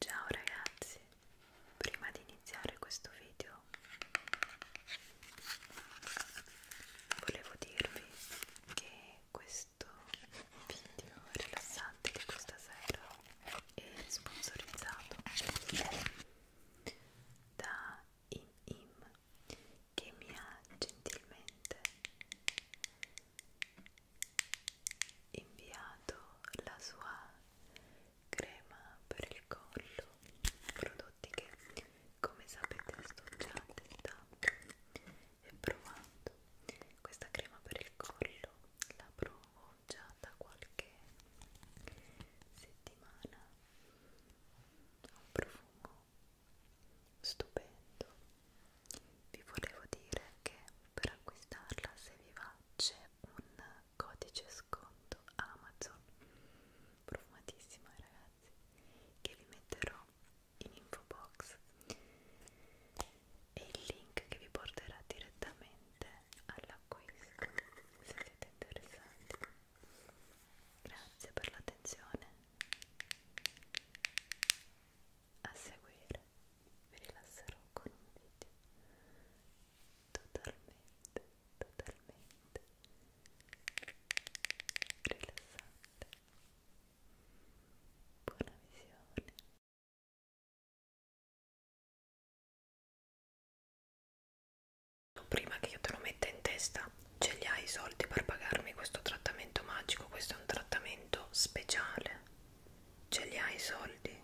Ciao ragazzi, prima di iniziare questo video volevo dirvi che questo video rilassante di questa sera è sponsorizzato da ImIm che mi ha gentilmente inviato la sua crema per il collo prodotti che come sapete sto già testando e provando questa crema per il collo la provo già da qualche settimana ha un profumo stupendo vi volevo dire che per acquistarla se vi va c'è un codice sconto Amazon profumatissima ragazzi che vi metterò in info box e il link che vi porterà direttamente all'acquisto se siete interessati grazie per l'attenzione a seguire vi rilasserò con un video totalmente, totalmente rilassante. Buona visione. Prima che io te lo metta in testa, ce li hai i soldi per pagarmi questo trattamento magico? Questo è un trattamento speciale ce li hai i soldi?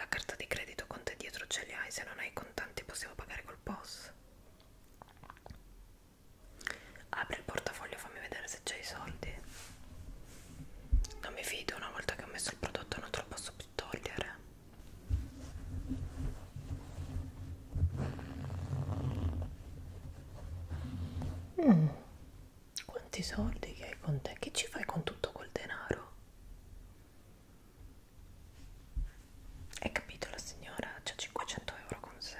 La carta di credito con te dietro ce li hai, se non hai i contanti possiamo pagare col POS. Apri il portafoglio, fammi vedere se c'è i soldi. Non mi fido, una volta che ho messo il prodotto non te lo posso più togliere. Mm. Quanti soldi che hai con te? Che ci fai con tutto quel denaro? Hai capito la signora? C'ha 500 euro con sé.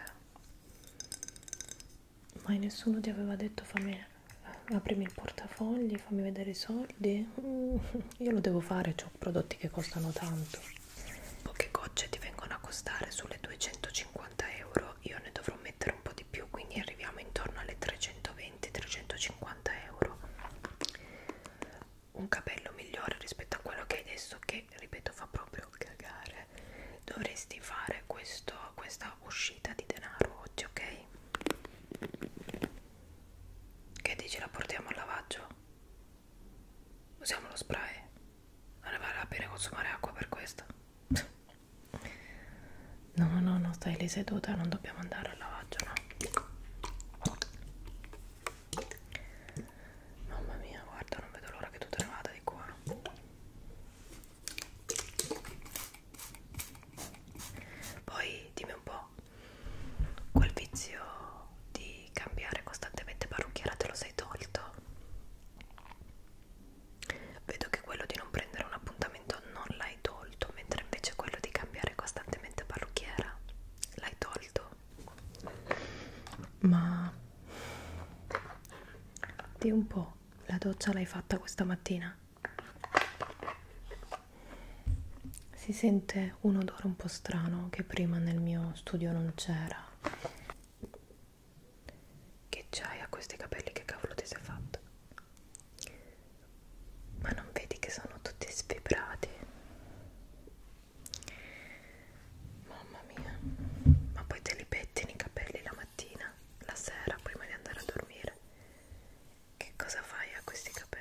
Mai nessuno ti aveva detto fammi aprimi il portafogli, fammi vedere i soldi. Mm. Io lo devo fare, ho prodotti che costano tanto poche gocce ti vengono a costare sulle 250 euro io ne dovrò mettere un po' di più quindi arriviamo intorno alle 320-350 euro un capello migliore rispetto a quello che hai adesso che ripeto fa proprio cagare dovresti fare questo, questa uscita di denaro oggi ok che dici la portiamo al lavaggio Usiamo lo spray. Non vale la pena consumare acqua per questo. No, no, no, no, stai lì seduta, non dobbiamo andare al lavaggio, no? Mamma mia, guarda, non vedo l'ora che tu te ne vada di qua. Poi dimmi un po' quel vizio di di cambiare costantemente parrucchiera te lo sei tolto? Vedo che quello di non prendere un appuntamento non l'hai tolto, mentre invece quello di cambiare costantemente parrucchiera l'hai tolto. Ma di un po', la doccia l'hai fatta questa mattina? Si sente un odore un po' strano che prima nel mio studio non c'era che c'hai a questi capelli? Che cavolo ti sei fatto? Ma non vedi che sono tutti sfibrati? Mamma mia, ma poi te li pettini i capelli la mattina, la sera, prima di andare a dormire. Che cosa fai a questi capelli?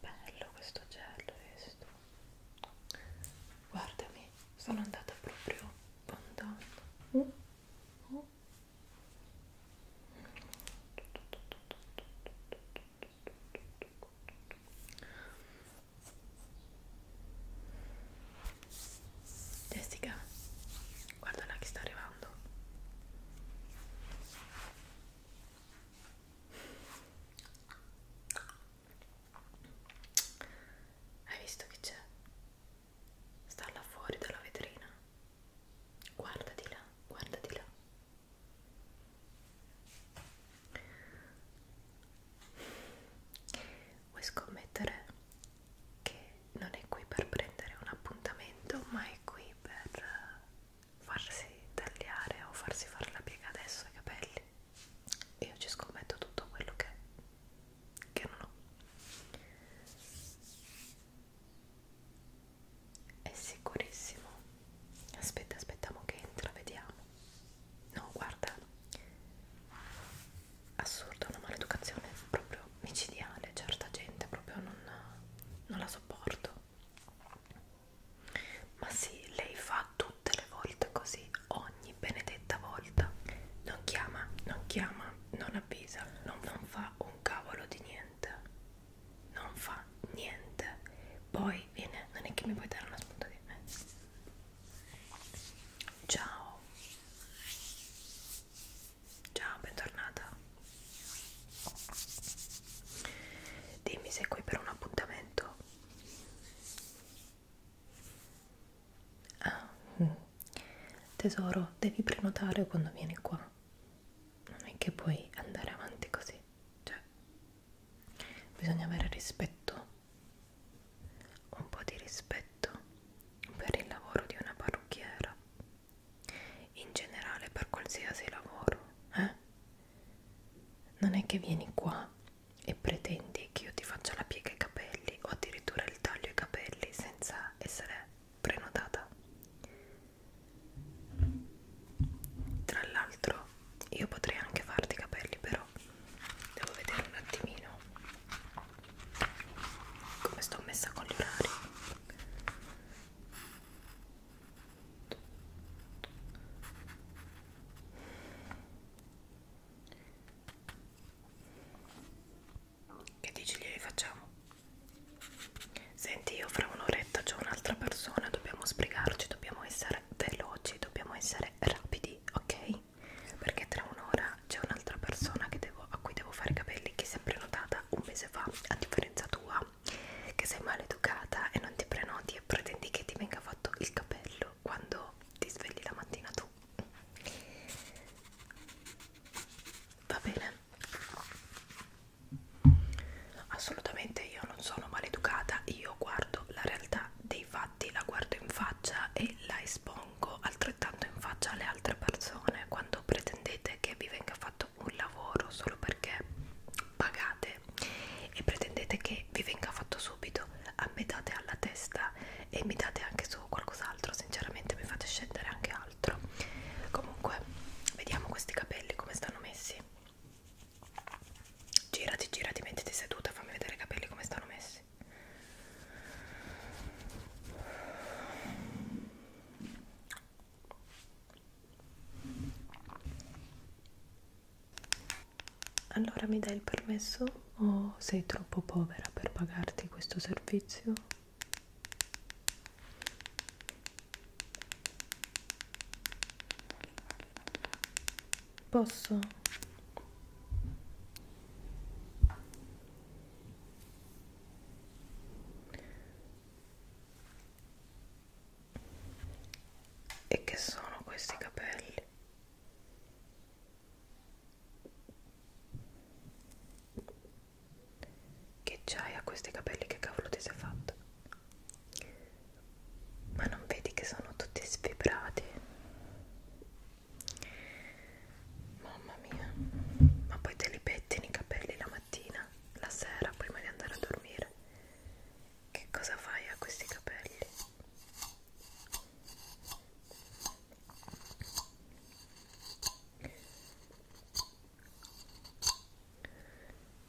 Bello questo gel, visto? Guardami, sono andata proprio fondando. Mm. Mm. Jessica, guarda là che sta arrivando. Hai visto che c'è? Sta là fuori dalla vetrina. Guarda di là, guarda di là. Vuoi scommettere che non è qui per prendere un appuntamento, ma è qui per eh, farsi tagliare o farsi fare la piega adesso ai capelli? Io ci scommetto tutto quello che, che non ho. È sicurissimo. Aspetta, aspettiamo che entra, vediamo no guarda assurdo una maleducazione proprio micidiale certa gente proprio non, non la sopporto ma sì lei fa tutte le volte così ogni benedetta volta non chiama non chiama non avvisa non, non fa un cavolo di niente non fa niente poi viene non è che mi puoi dare una spunta di me Ciao. Ciao, bentornata. Dimmi se qui per un appuntamento. Ah, mm. tesoro, devi prenotare quando vieni qua. Non è che puoi andare avanti così. Cioè, bisogna avere rispetto un po' di rispetto per il lavoro di una parrucchiera, in generale per qualsiasi lavoro, eh? Non è che vieni qua e pretendi che io ti faccia la piega ai capelli o addirittura il taglio ai capelli senza essere prenotata. Tra l'altro io potrei anche farti i capelli però devo vedere un attimino come sto messa con gli orari che dici glieli facciamo? Senti, io fra un'oretta c'è un'altra persona, dobbiamo sbrigarci, dobbiamo essere veloci, dobbiamo essere rapidi, ok? Perché tra un'ora c'è un'altra persona che devo, a cui devo fare i capelli che si è prenotata un mese fa, a differenza tua, che sei maleducata e non ti prenoti e pretendi che ti venga fatto il capello quando ti svegli la mattina tu. Va bene? Assolutamente io non sono maleducata, io guardo la realtà dei infatti la guardo in faccia e la espongo altrettanto in faccia alle altre persone quando pretendete che vi venga fatto un lavoro solo perché pagate e pretendete che vi venga fatto subito a me date alla testa e mi date anche su qualcos'altro sinceramente mi fate scendere anche altro comunque vediamo questi capelli come stanno messi Girati, girati, mettiti seduta, fammi vedere i capelli come stanno messi. Allora mi dai il permesso o sei troppo povera per pagarti questo servizio? Posso? E che sono questi capelli? Che c'hai a questi capelli? Che cavolo ti sei fatto? ma non vedi che sono tutti sfibrati? Mamma mia, ma poi te li pettini i capelli la mattina, la sera, prima di andare a dormire. Che cosa fai a questi capelli?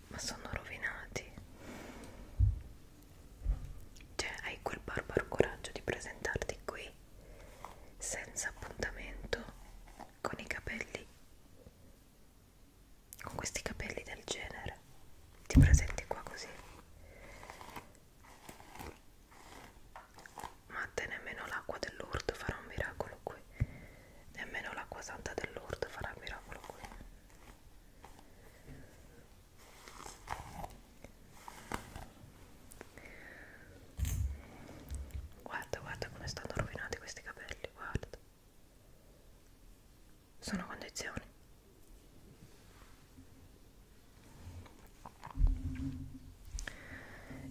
Ma sono rovinati. Cioè, hai quel barbaro coraggio di presentarti qui senza appuntamento con i capelli con questi capelli del genere ti presenti qua così ma te nemmeno l'acqua dell'orto farà un miracolo qui nemmeno l'acqua santa dell'orto farà un miracolo qui Guarda, guarda come stanno rovinati questi capelli, guarda. Sono condizioni.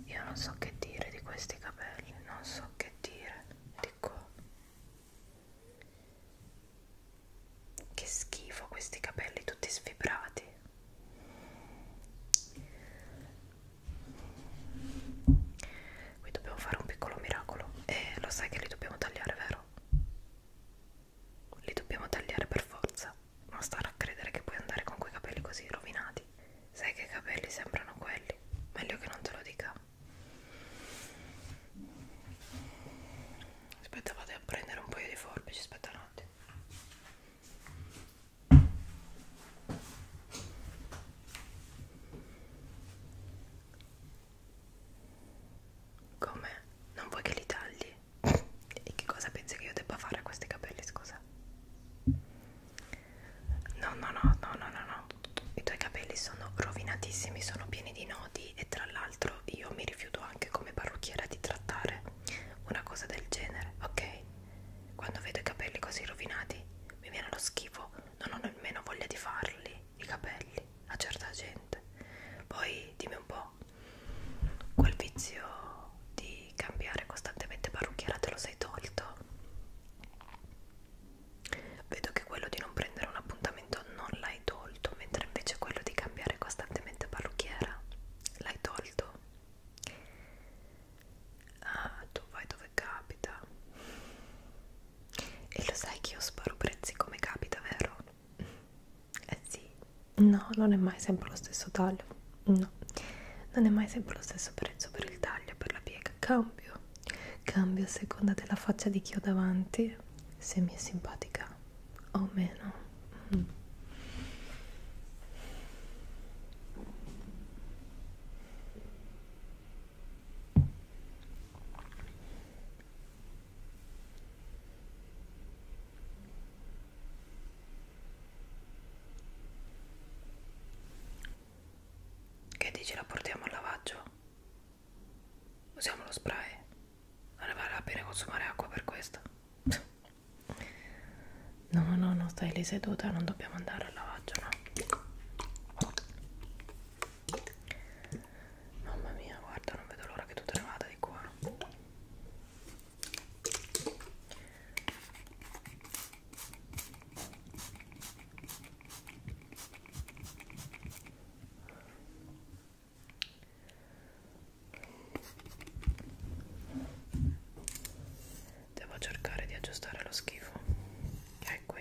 Io non so che dire di questi capelli, non so che dire di qua. Che schifo questi capelli tutti sfibrati. Qui dobbiamo fare un piccolo miracolo. E lo sai che li dobbiamo tagliare, vero? Li dobbiamo tagliare per forza. Non stare a credere che puoi andare con quei capelli così rovinati. Sai che i capelli sembrano quelli. Meglio che non te lo dica aspetta vado a prendere un paio di forbici aspetta un attimo come? non vuoi che li tagli? e che cosa pensi che io debba fare a questi capelli scusa? no no no no no no no i tuoi capelli sono rovinatissimi sono pieni di nodi clienti e tra l'altro io mi rifiuto anche come parrucchiera di trattare una cosa del genere, ok? Quando vedo i capelli così rovinati mi viene lo schifo, non ho nemmeno voglia di farli i capelli a certa gente. Poi dimmi un po', quel vizio di cambiare costantemente parrucchiera te lo sei tolto? Vedo che quello di non prendere un appuntamento non l'hai l'hai tolto, mentre invece quello di cambiare costantemente parrucchiera l'hai tolto. Ah, tu vai dove capita. E lo sai che io sparo prezzi come capita, vero? Eh sì. No, non è mai sempre lo stesso taglio. No. Non è mai sempre lo stesso prezzo per il taglio, per la piega. Cambio. Cambio a seconda della faccia di chi ho davanti. Se mi è simpatica o meno mm. Che dici la portiamo al lavaggio? Usiamo lo spray non ne vale la pena consumare acqua per questo no no no stai lì seduta non dobbiamo andare al lavaggio no mamma mia guarda non vedo l'ora che tu te ne vada di qua Devo cercare di aggiustare lo schifo che è qui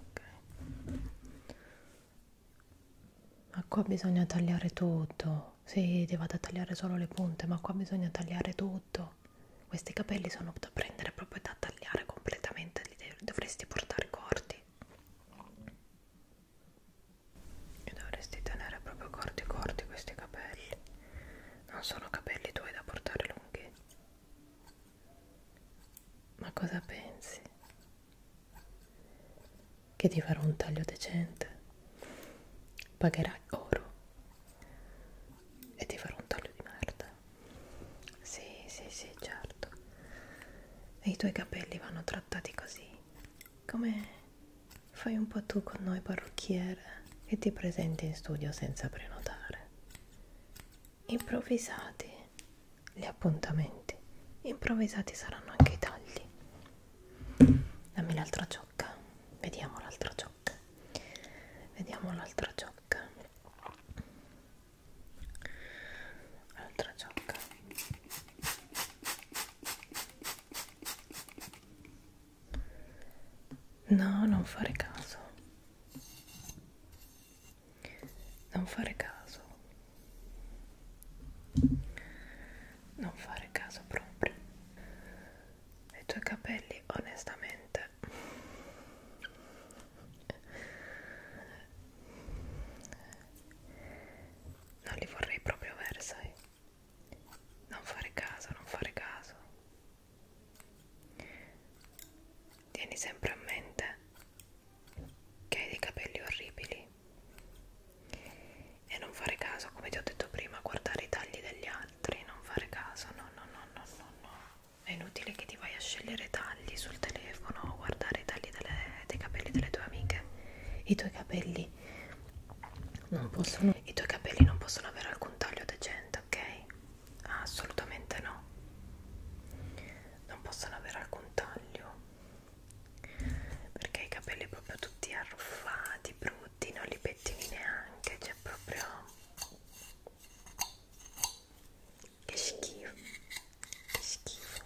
ok ma qua bisogna tagliare tutto si sì, vado a tagliare solo le punte ma qua bisogna tagliare tutto questi capelli sono da prendere proprio da tagliare completamente li dovresti portare corti e dovresti tenere proprio corti corti questi capelli non sono capelli tuoi da portare lunghi ma cosa pensi? Che ti farò un taglio decente? Pagherai oro e ti farò un taglio di merda. Sì, sì, sì, certo. E i tuoi capelli vanno trattati così. Come fai un po' tu con noi parrucchiere che ti presenti in studio senza prenotare improvvisati gli appuntamenti improvvisati saranno anche i tagli dammi l'altra ciocca vediamo l'altra ciocca vediamo l'altra ciocca l'altra ciocca no non fare caso non fare caso non fare caso proprio ai tuoi capelli onestamente non li vorrei proprio avere sai non fare caso non fare caso tieni sempre a mente che hai dei capelli orribili e non fare caso, come ti ho detto prima, guardare i tagli degli altri, non fare caso, no, no, no, no, no, no. È inutile che ti vai a scegliere tagli sul telefono o guardare i tagli delle, dei capelli delle tue amiche. I tuoi capelli non possono, i tuoi capelli non possono avere alcun taglio decente, ok? Ah, assolutamente no non possono avere alcun taglio perché i capelli proprio tutti arruffati brutti non li pettini neanche c'è cioè proprio che schifo che schifo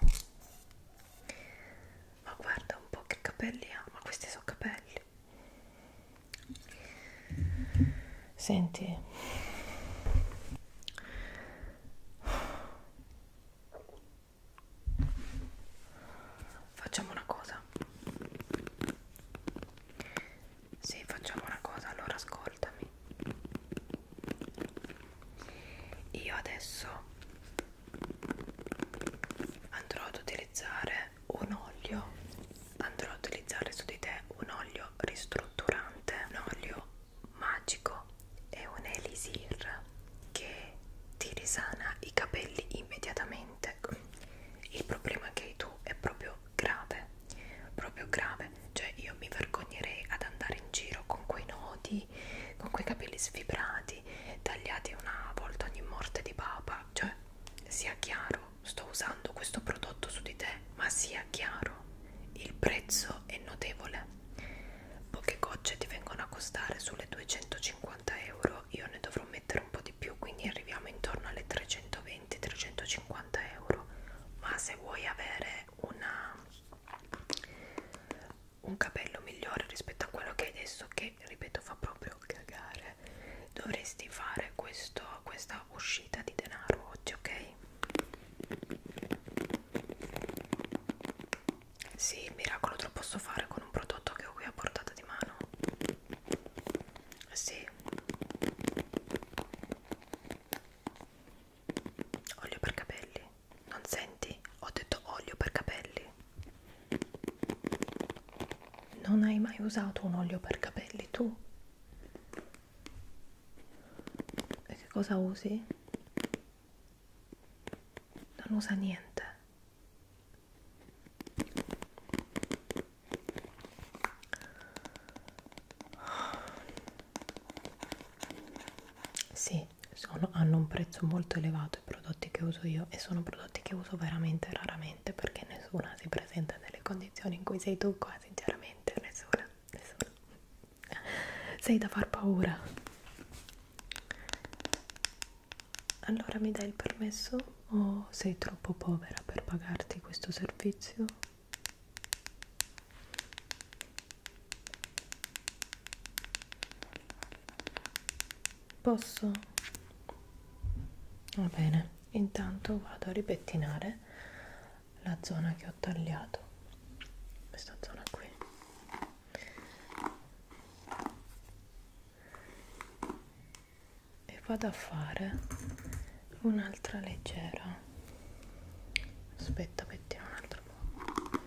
ma guarda un po' che capelli ha ma questi sono capelli Senti, facciamo una cosa. Sì, facciamo una cosa, allora ascoltami. Io adesso andrò ad utilizzare un olio, andrò ad utilizzare su di te un olio ristrutturante, un olio magico è un elisir che ti risana i capelli immediatamente il problema che hai tu è proprio grave proprio grave cioè io mi vergognerei ad andare in giro con quei nodi con quei capelli sfibrati tagliati una volta ogni morte di papa cioè sia chiaro sto usando questo prodotto su di te ma sia chiaro il prezzo è notevole Poche gocce ti vengono a costare sulle 250 euro, io ne dovrò mettere un po' di più, quindi arriviamo intorno alle 320-350 euro. Ma se vuoi avere una, un capello migliore rispetto a quello che hai adesso, che ripeto fa proprio cagare, dovresti fare questo, questa uscita di denaro oggi, ok? Sì, il miracolo te lo posso fare con un prodotto che ho qui a portata di mano. Sì. Olio per capelli. Non senti? Ho detto olio per capelli. Non hai mai usato un olio per capelli tu? E che cosa usi? Non usa niente. Sì, sono, hanno un prezzo molto elevato i prodotti che uso io e sono prodotti che uso veramente raramente perché nessuna si presenta nelle condizioni in cui sei tu qua, sinceramente, nessuna, nessuna sei da far paura allora mi dai il permesso o sei troppo povera per pagarti questo servizio posso va bene intanto vado a ripettinare la zona che ho tagliato questa zona qui e vado a fare un'altra leggera aspetta mettiamo un altro po'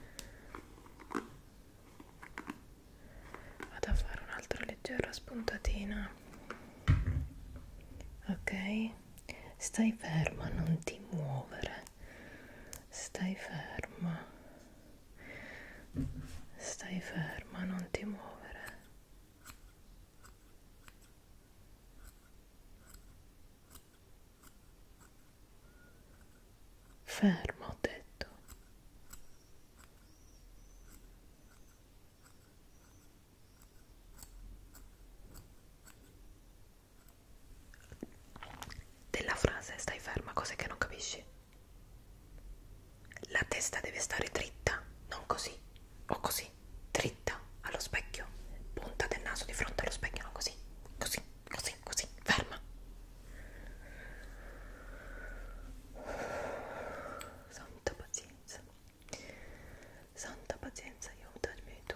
vado a fare un'altra leggera spuntatina ok stai ferma non ti muovere stai ferma stai ferma non ti muovere ferma ho detto della frase stai ferma, cose che non capisci. La testa deve stare dritta, non così o così, dritta allo specchio, punta del naso di fronte allo specchio, non così, così, così, così, ferma. Santa pazienza, santa pazienza, aiutami tu.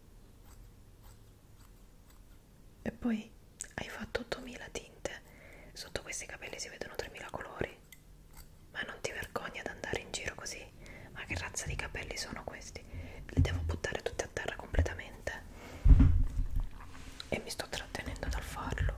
E poi hai fatto 8000 tinte, sotto questi capelli si vedono 3000 colori. Ma non ti vergogni ad andare in giro così? Ma che razza di capelli sono questi? Li devo buttare tutti a terra completamente. E mi sto trattenendo dal farlo.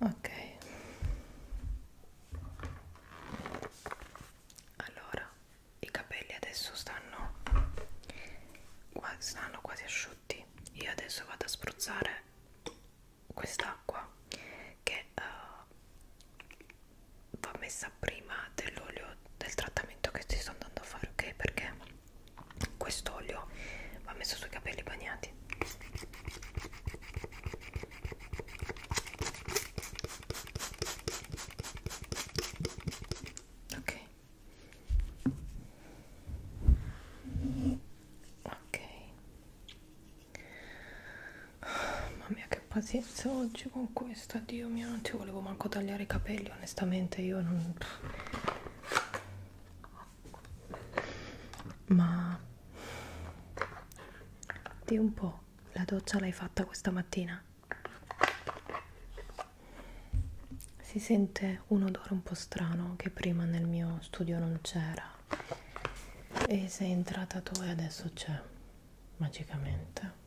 Ok. Allora i capelli adesso stanno, stanno quasi asciutti io adesso vado a spruzzare quest'acqua che uh, va messa prima dell'olio del trattamento che ci sto andando a fare ok perché quest'olio va messo sui capelli bagnati ok ok oh, mamma mia che pazienza oggi con questo dio mio non ci volevo manco tagliare i capelli onestamente io non ma di un po' la doccia l'hai fatta questa mattina si sente un odore un po' strano che prima nel mio studio non c'era e sei entrata tu e adesso c'è magicamente.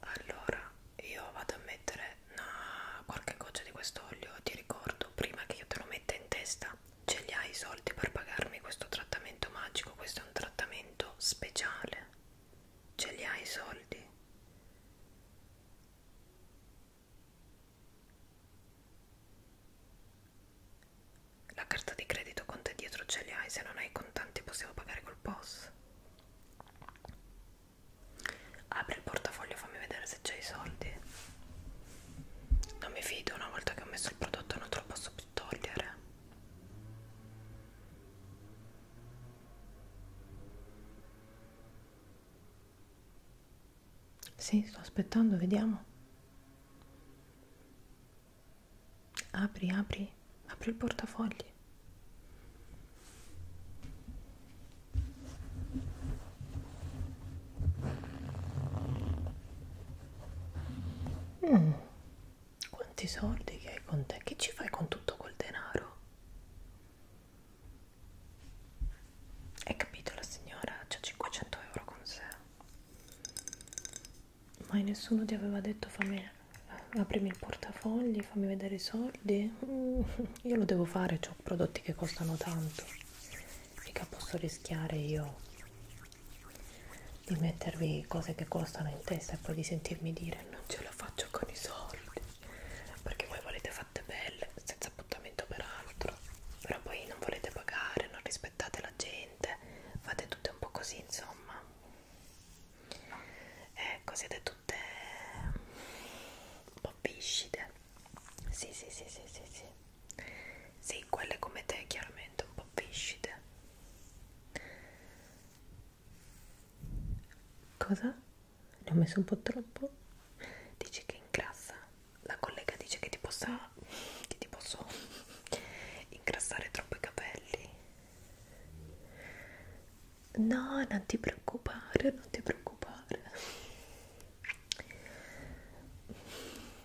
Allora, io vado a mettere una, qualche goccia di quest'olio, ti ricordo prima che io te lo metta in testa ma ce li hai i soldi per pagarmi questo trattamento magico? Questo è un trattamento speciale. Ce li hai i soldi? La carta di credito con te dietro ce li hai, se non hai i contanti possiamo pagare col POS. Apri il portafoglio, fammi vedere se c'è i soldi. Non mi fido, una volta che ho messo il prodotto non te lo posso togliere sì sto aspettando vediamo apri apri apri il portafogli Mm. Quanti soldi che hai con te? Che ci fai con tutto quel denaro? Hai capito la signora? C'ha 500 euro con sé. Mai nessuno ti aveva detto fammi aprimi il portafogli, fammi vedere i soldi. Mm. Io lo devo fare, ho prodotti che costano tanto. Mica posso rischiare io di mettervi cose che costano in testa e poi di sentirmi dire non ce la faccio con i soldi perché voi volete fatte belle senza appuntamento peraltro però poi non volete pagare non rispettate la gente fate tutte un po' così insomma ecco siete tutte un po' viscide sì sì sì sì sì sì sì, quelle come te, chiaramente, un po' viscide. Cosa? Ne ho messo un po' troppo? Dici che ingrassa? La collega dice che ti possa... che ti posso ingrassare troppo i capelli. No, non ti preoccupare, non ti preoccupare.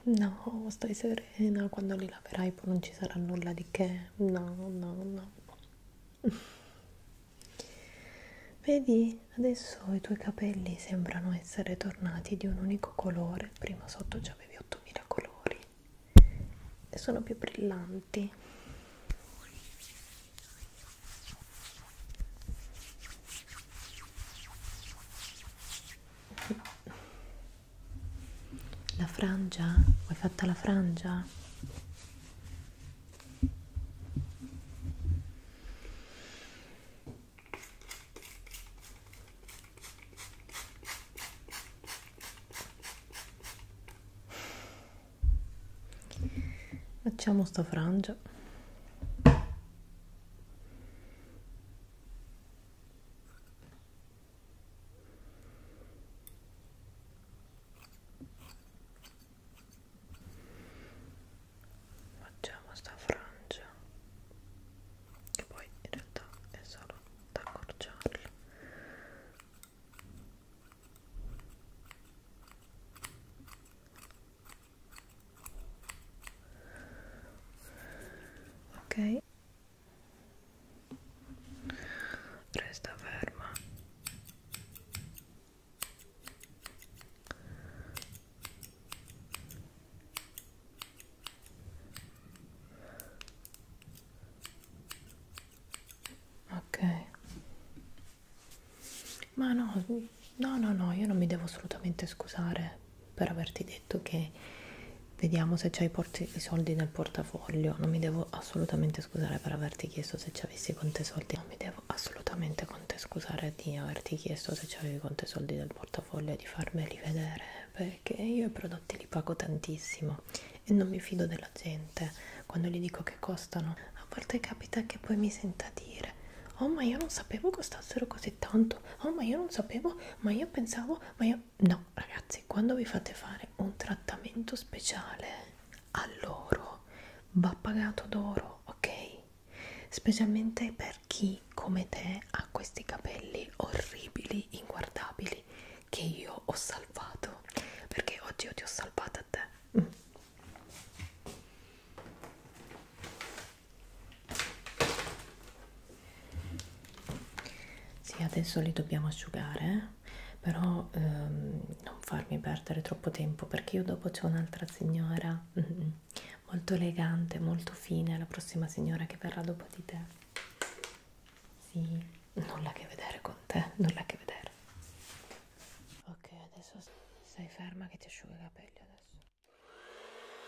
No, stai serena, quando li laverai poi non ci sarà nulla di che. No, no, no. Vedi, adesso i tuoi capelli sembrano essere tornati di un unico colore, prima sotto già avevi 8000 colori e sono più brillanti. La frangia? Hai fatta la frangia? Facciamo sta frangia facciamo sta frangia che poi in realtà è solo da accorciarla ok resta ferma ok ma no no no no io non mi devo assolutamente scusare per averti detto che vediamo se c'hai i soldi nel portafoglio non mi devo assolutamente scusare per averti chiesto se ci avessi con te soldi non mi devo assolutamente con te scusare di averti chiesto se ci avevi con te soldi nel portafoglio di farmeli vedere perché io i prodotti li pago tantissimo e non mi fido della gente quando gli dico che costano a volte capita che poi mi senta dire oh ma io non sapevo costassero così tanto oh ma io non sapevo ma io pensavo ma io no ragazzi ragazzi quando vi fate fare un trattamento speciale all'oro va pagato d'oro ok specialmente per chi come te ha questi capelli orribili inguardabili che io ho salvato perché oggi io ti ho salvato a te mm. Sì, adesso li dobbiamo asciugare, eh. però ehm, non farmi perdere troppo tempo perché io dopo c'è un'altra signora molto elegante, molto fine, la prossima signora che verrà dopo di te. Sì, nulla a che vedere con te, nulla a che vedere. Ok, adesso stai ferma che ti asciuga i capelli adesso.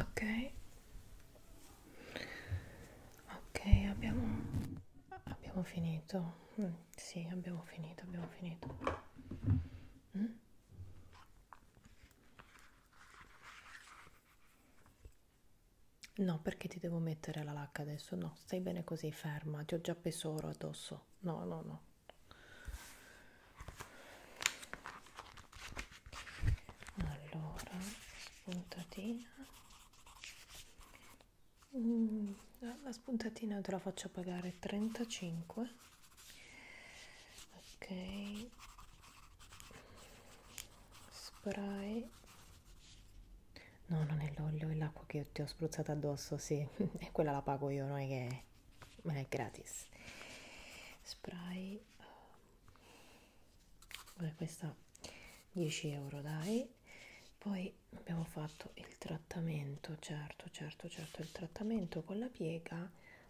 ok ok abbiamo abbiamo finito mm, sì abbiamo finito abbiamo finito mm? No, perché ti devo mettere la lacca adesso? No, stai bene così, ferma, ti ho già pesoro addosso. No, no, no. Allora, spuntatina. Mm, la spuntatina te la faccio pagare 35 ok spray no non è l'olio è l'acqua che ti ho spruzzato addosso sì e quella la pago io non è che ma è gratis spray Vabbè, questa 10 euro dai poi abbiamo fatto il trattamento certo certo certo il trattamento con la piega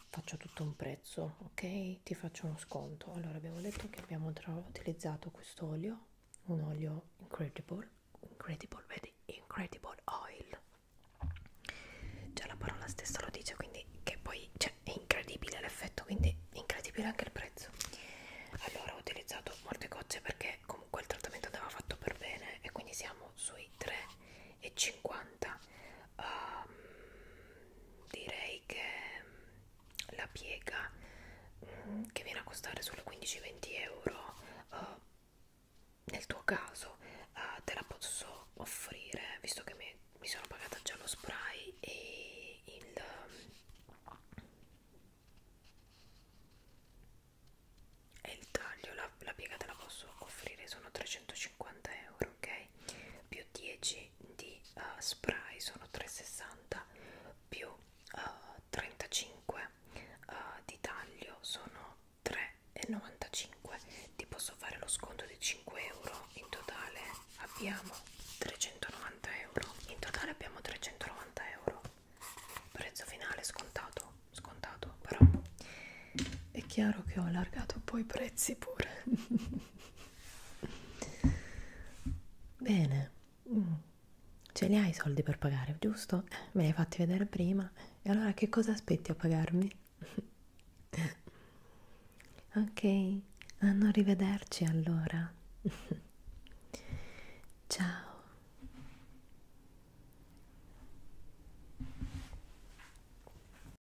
faccio tutto un prezzo ok ti faccio uno sconto allora abbiamo detto che abbiamo utilizzato questo olio un olio incredible incredible vedi incredible oil già la parola stessa lo dice quindi che poi cioè, è incredibile l'effetto quindi incredibile anche il prezzo allora ho utilizzato molte gocce perché comunque il trattamento andava fatto per bene e quindi siamo sui 3,50 um, direi che la piega um, che viene a costare solo 15-20 euro uh, nel tuo caso uh, te la posso offrire visto che mi, mi sono pagata già lo spray e il um, e il taglio, la, la piega te la posso offrire, sono 350 euro, ok? più 10 di uh, spray sono 360 più uh, 35 uh, di taglio sono 3,95 ti posso fare lo sconto di 5 euro in totale abbiamo 390 euro in totale abbiamo 390 euro prezzo finale scontato scontato però è chiaro che ho allargato un po' i prezzi pure bene mm. ce li hai i soldi per pagare giusto? Eh, me li hai fatti vedere prima e allora che cosa aspetti a pagarmi? ok a non rivederci allora ciao